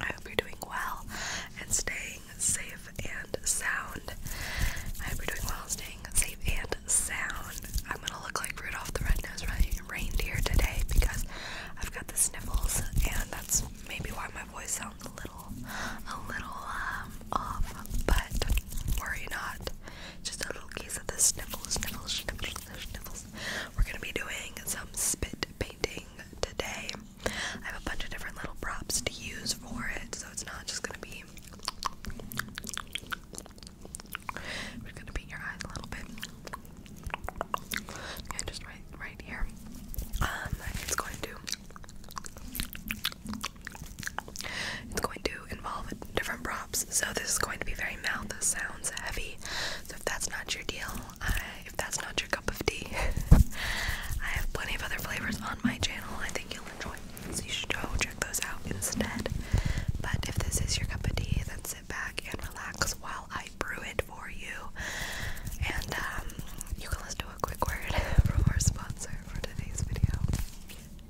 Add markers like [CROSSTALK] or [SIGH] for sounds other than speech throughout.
I hope you're doing well and staying safe and sound. I hope you're doing well and staying safe and sound. I'm gonna look like Rudolph the Red-Nosed Reindeer today because I've got the sniffles, and that's maybe why my voice sounds a little, a little um, off. But worry not, just a little case of the sniffles, sniffles, sniffles, sniffles. We're gonna be doing some spit painting today. I have a bunch of different little props to use for it, so it's not just gonna be. We're gonna beat your eyes a little bit. Yeah, just right, right here. Um, it's going to. It's going to involve different props, so this is going to be very mouth sounds heavy. So if that's not your deal, if that's not your cup of tea, [LAUGHS] I have plenty of other flavors on my channel. I think you'll enjoy, so you should go check those out instead. But if this is your cup of tea, then sit back and relax while I brew it for you. And um, you can listen to a quick word [LAUGHS] from our sponsor for today's video.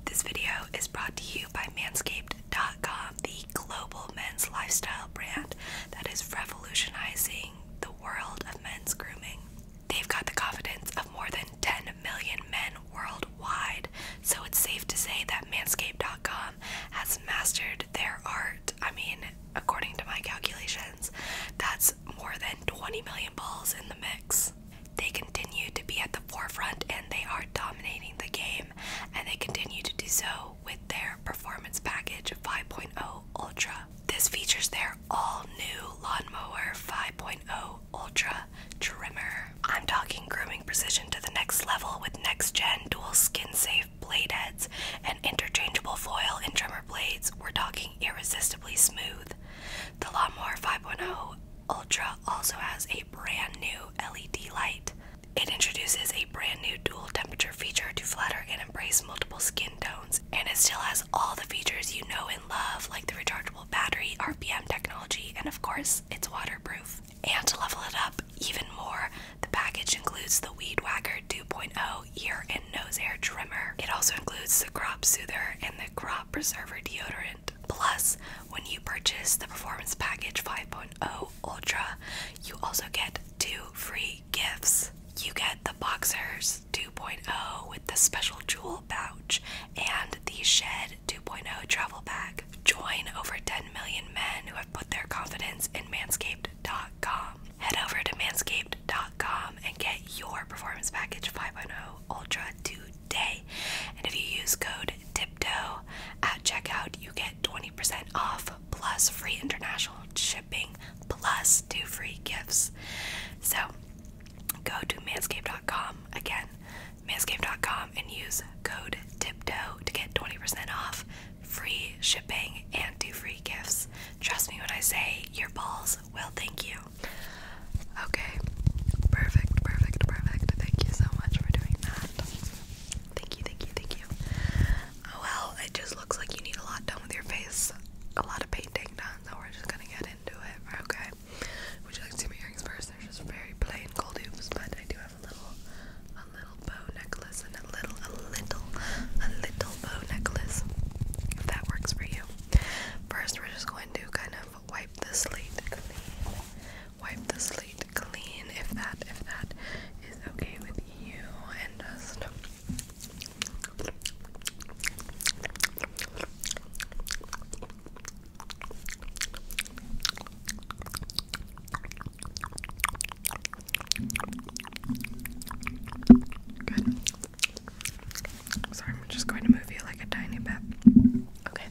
This video is brought to you by Manscaped.com, the global men's lifestyle brand that is revolutionizing world of men's grooming. They've got the confidence of more than 10 million men worldwide, so it's safe to say that Manscaped.com has mastered their art. I mean, according to my calculations, that's more than 20 million balls in the mix. They continue to be at the forefront and they are dominating the game, and they continue to do so with their Performance Package 5.0 Ultra. This features their all new Lawnmower 5.0 Ultra trimmer. I'm talking grooming precision to the next level with next gen dual skin safe blade heads and interchangeable foil and trimmer blades. We're talking irresistibly smooth. The Lawnmower 5.0 Ultra also has a brand new LED light. It introduces a brand new dual temperature feature to flatter and embrace multiple skin tones, and it still has all the features you know and love, like the rechargeable battery, RPM technology, and of course, it's waterproof. And to level it up even more, the package includes the Weed Whacker 2.0 ear and nose hair trimmer. It also includes the Crop Soother and the Crop Preserver deodorant. Plus, when you purchase the Performance Package 5.0 Ultra, you also get two free gifts. You get the Boxers 2.0 with the special jewel pouch and the Shed 2.0 travel bag. Join over 10 million men who have put their confidence in manscaped.com. Head over to manscaped.com and get your performance package 5.0 Ultra today. And if you use code TIPTOE at checkout, you get 20% off plus free international shipping plus two free gifts. So go to manscaped.com again, manscaped.com and use code tiptoe to get 20% off free shipping and two free gifts. Trust me when I say your balls will thank you. Okay. Perfect, perfect, perfect. Thank you so much for doing that. Thank you, thank you, thank you. Oh, well, it just looks like you need a lot done with your face. A lot of painting done, so we're just gonna get into it, okay? Would you like to see my earrings first? They're just very plain gold hoops, but I do have a little a little bow necklace and a little a little a little bow necklace. If that works for you. First we're just going to kind of wipe the slate clean. Wipe the slate clean if that if that is okay with you and Sorry, I'm just going to move you like a tiny bit. Okay.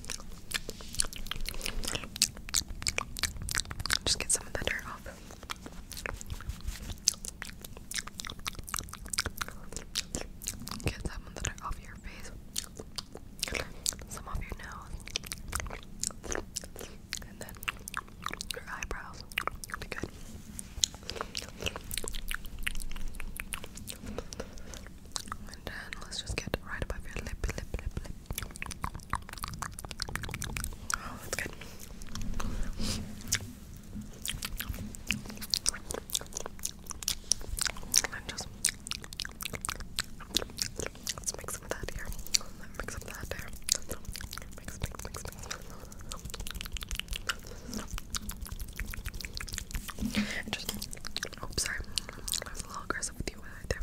Just get some of the dirt off. Get some of that off your face, some off your nose, and then your eyebrows. Be good. And then let's just get right above your lip, lip, lip, lip. Oh, that's good. let's mix some of that here. Mix up that there. Mix, mix, mix, mix. And oh sorry. I was a little aggressive with you right there.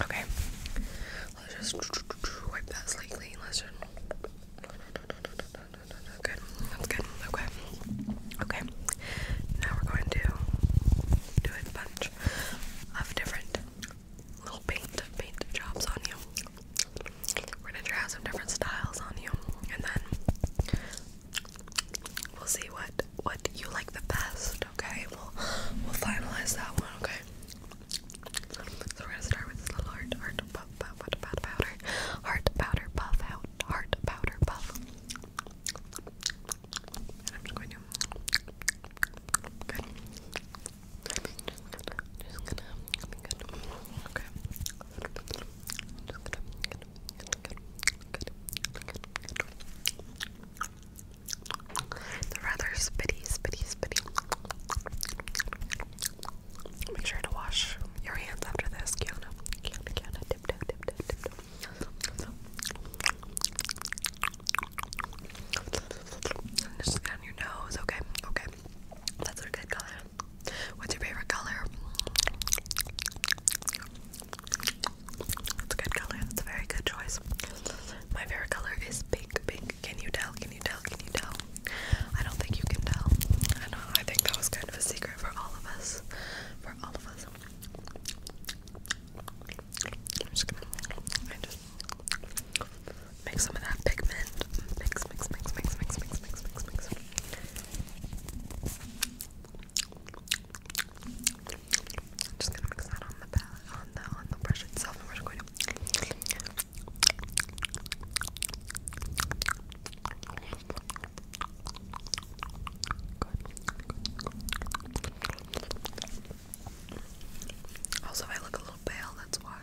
Okay. Let's just wipe that slightly. Let's just. Good. That's good. Okay. Okay. Now we're going to do a bunch of different little paint paint jobs on you. We're gonna try some different styles on you, and then we'll see what what you like the best. Okay, we'll we'll finalize that one. Okay. So we're gonna start with this little heart, heart, puff, puff, puff, powder, heart powder, puff heart powder, puff. Okay. They're rather spitty, spitty, spitty. Make sure to wash your hands after this, Kiana. Kiana, dip, dip, dip, dip, dip. Just down your nose, okay, okay. That's a good color. What's your favorite color? That's a good color. That's a very good choice. My favorite color is pink. Pink. Can you tell? Can you tell? Can you tell? I don't think you can tell. I think that was kind of a secret for all of us. For all of us. I'm just gonna. I just make some of that pigment. Mix, mix, mix, mix, mix, mix, mix, mix, mix. I'm just gonna mix that on the brush itself, and we're just going to. Also, I look a little pale. That's why,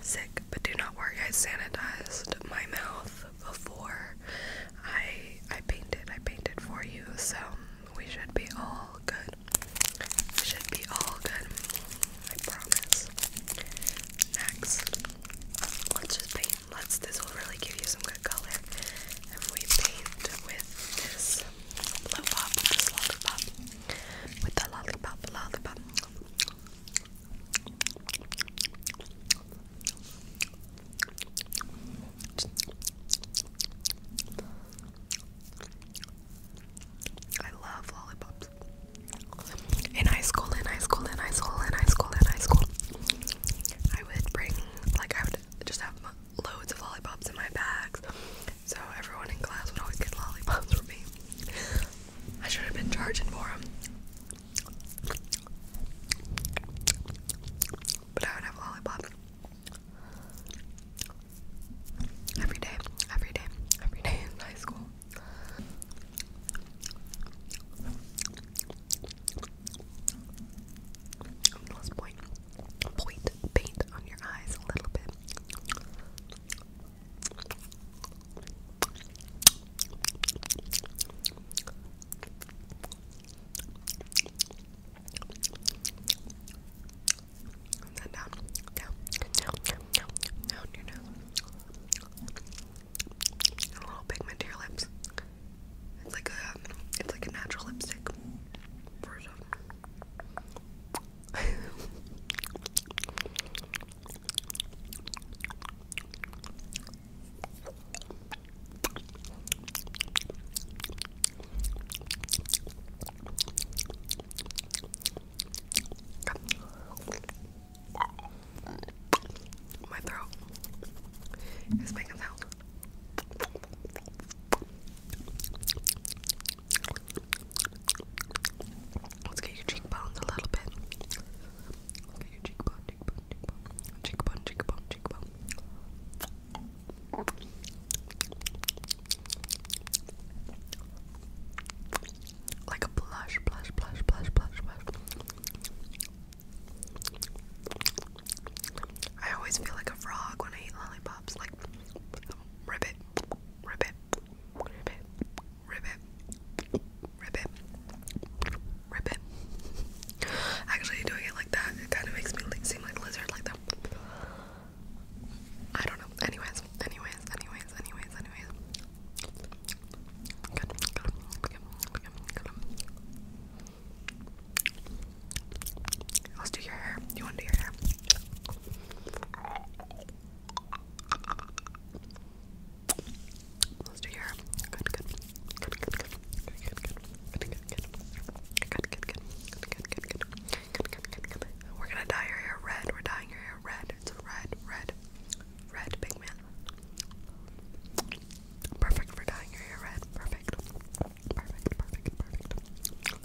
sick, but do not worry. I sanitized my mouth before I I painted. I painted for you, so we should be all good. We should be all good. I promise. Next, let's just paint. Let's. This will really give you some good color if we paint with this blow pop, lollipop, with the lollipop, lollipop. I love lollipops. In high school, in high school, in high school, in high school, in high school, I would bring, like, I would just have loads of lollipops in my bags. So everyone in class would always get lollipops for me. I should have been charging for them. But I would have lollipop. Every day, every day, every day in high school. Let's point paint on your eyes a little bit. And then down, down, down, down, down, down a little pigment to your lips. It's like a, it's like a natural lipstick [LAUGHS] My throat is making sound. Let's get your cheekbones a little bit. get your cheekbone, cheekbone, cheekbone, cheekbone, cheekbone, cheekbone. Like a blush, blush, blush, blush, blush, blush. I always feel like a frog when I eat lollipops. Like, rip it, rip it, rip it, ribbit, ribbit, ribbit. Actually, doing it like that, it kind of makes me seem like a lizard, like that. I don't know. Anyways, anyways, anyways, anyways, anyways. Good, good, good, good, good. Let's do your hair. You want to do your hair? Let's do your good, good, good, good, good, good, good, good, good, good, good, good, good, We're gonna dye your hair red. We're dyeing your hair red. It's red, red, red pigment. Perfect for dyeing your hair red. Perfect. Perfect. Perfect. Perfect.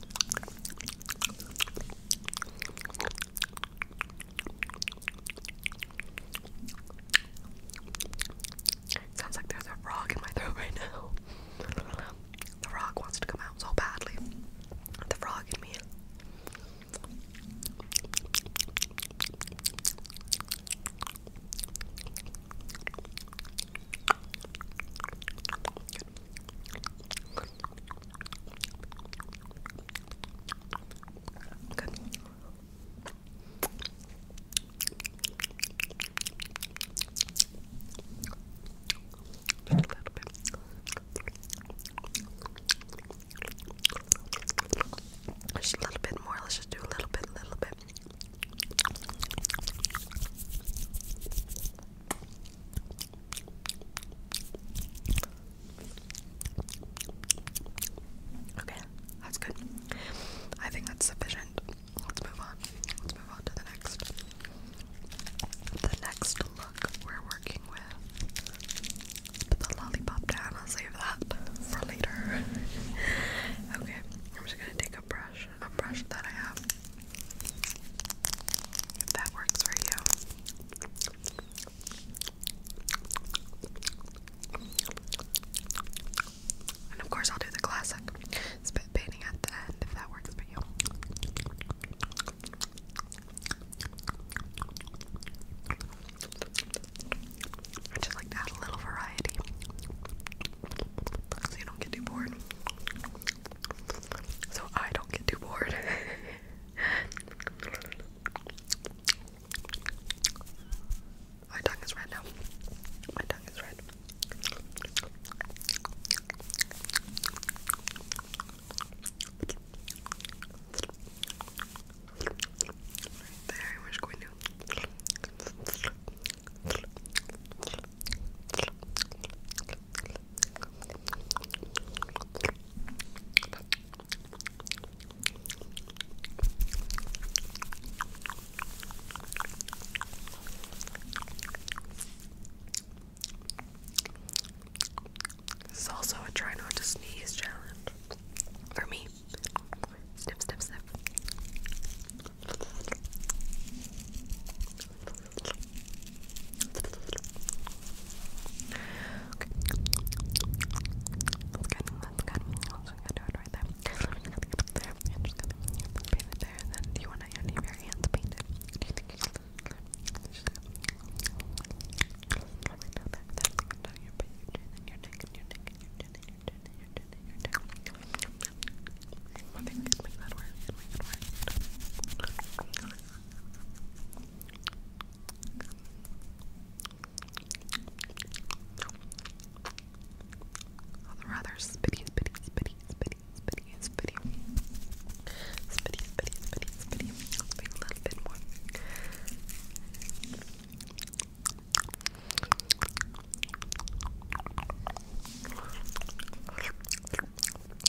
Sounds like there's a frog in my throat right now. The frog wants to come out so badly. The frog in me. Good. Just a little bit. Just a little bit more. Let's just do a little bit, little bit. Okay, that's good. I think that's sufficient. Let's move on. Let's move on to the next. The next look we're working with. the lollipop down. I'll save that for later. [LAUGHS] okay, I'm just gonna take a brush, a brush that I have. If that works for you. And of course, I'll do the classic spit painting at the end if that works for you. just like to add a little variety so you don't get too bored so I don't get too bored. [LAUGHS] My tongue is red now. My tongue is red. there, we're going to. This is also a try not to sneeze challenge for me. Snip, snip, snip do it right there. I'm just gonna paint it there, and then do you want to leave your hands painted? Do you think you should? Just I think we can make that work. We can make it work rather spitty, spitty, spitty, spitty, spitty, spitty, spitty, spitty, spitty, spitty. let little bit more.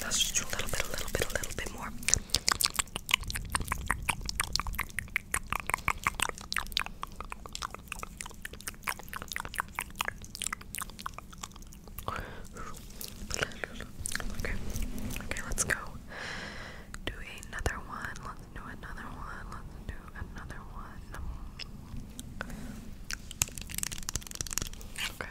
Let's just do a little bit, a little bit, a little bit more. Okay, okay, let's go. Do another one. Let's do another one. Let's do another one. Okay.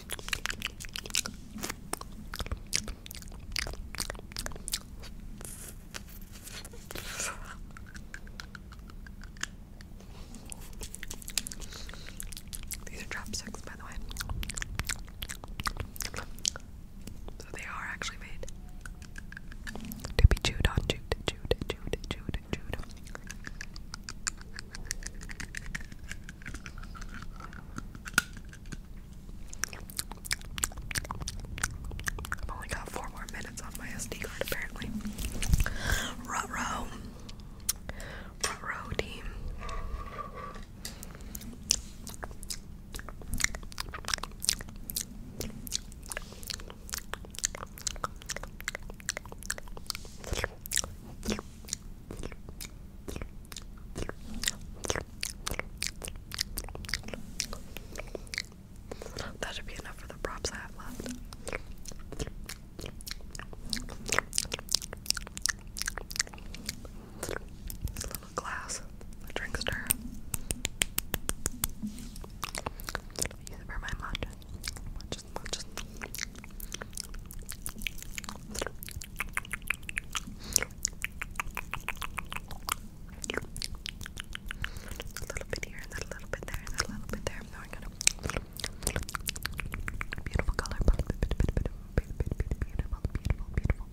These are chopsticks, by the way. So they are actually made to be chewed on, chewed, chewed, chewed, chewed, chewed. I've only got four more minutes on my SD card apparently. Rut row. Rut row team. That should be enough for the props I have left. A little glass, a drink stir. Use it my matcha. A little bit here, and then a little bit there, and then a little bit there. Now I'm gonna beautiful color, beautiful, beautiful, beautiful, beautiful,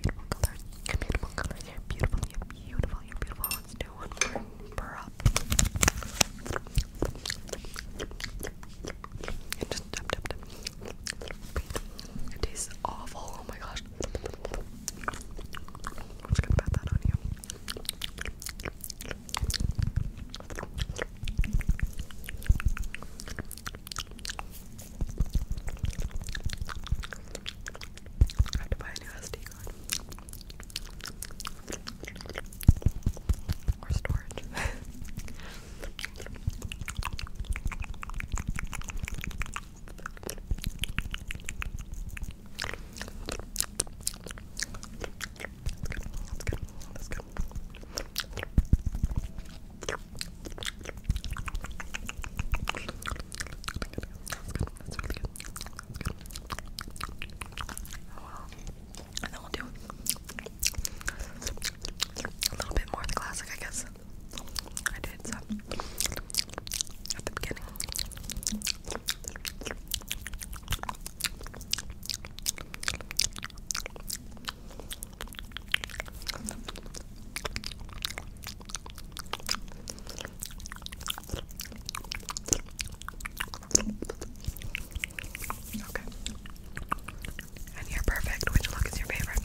beautiful color, beautiful color. You're beautiful, you're beautiful, you're beautiful. Let's do one more per up. And just tap, tap, tap. It tastes awful. Oh my gosh. I'm just gonna pat that on you. I had to buy a new SD card. Or storage. [LAUGHS] Let's go. That's really good. That's good. Oh well. And then we'll do a little bit more of the classic, I guess. I did some at the beginning. Okay. And you're perfect. Which look is your favorite?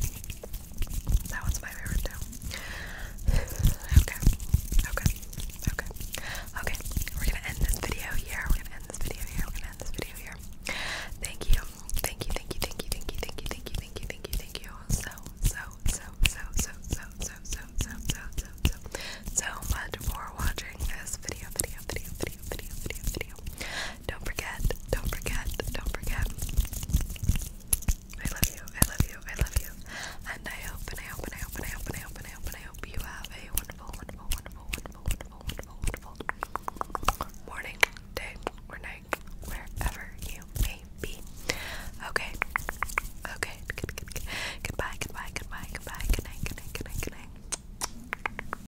That one's my favorite too. okay. Okay. Okay. Okay. We're gonna end this video here. We're gonna end this video here. We're gonna end this video here. Thank you. Thank you. Thank you. Thank you. Thank you. Thank you. Thank you. Thank you. Thank you. Thank you. So so so so so so so so so so so so much for watching this video video video video video video video. Don't forget, don't forget, don't forget. I love you, I love you, I love you. And I hope and I hope and I hope and I hope and I hope and I hope you have a wonderful, wonderful, wonderful, wonderful, wonderful, wonderful morning, day, or night, wherever you may be. Okay. Okay. Goodbye, goodbye, goodbye, goodbye, good night, good night,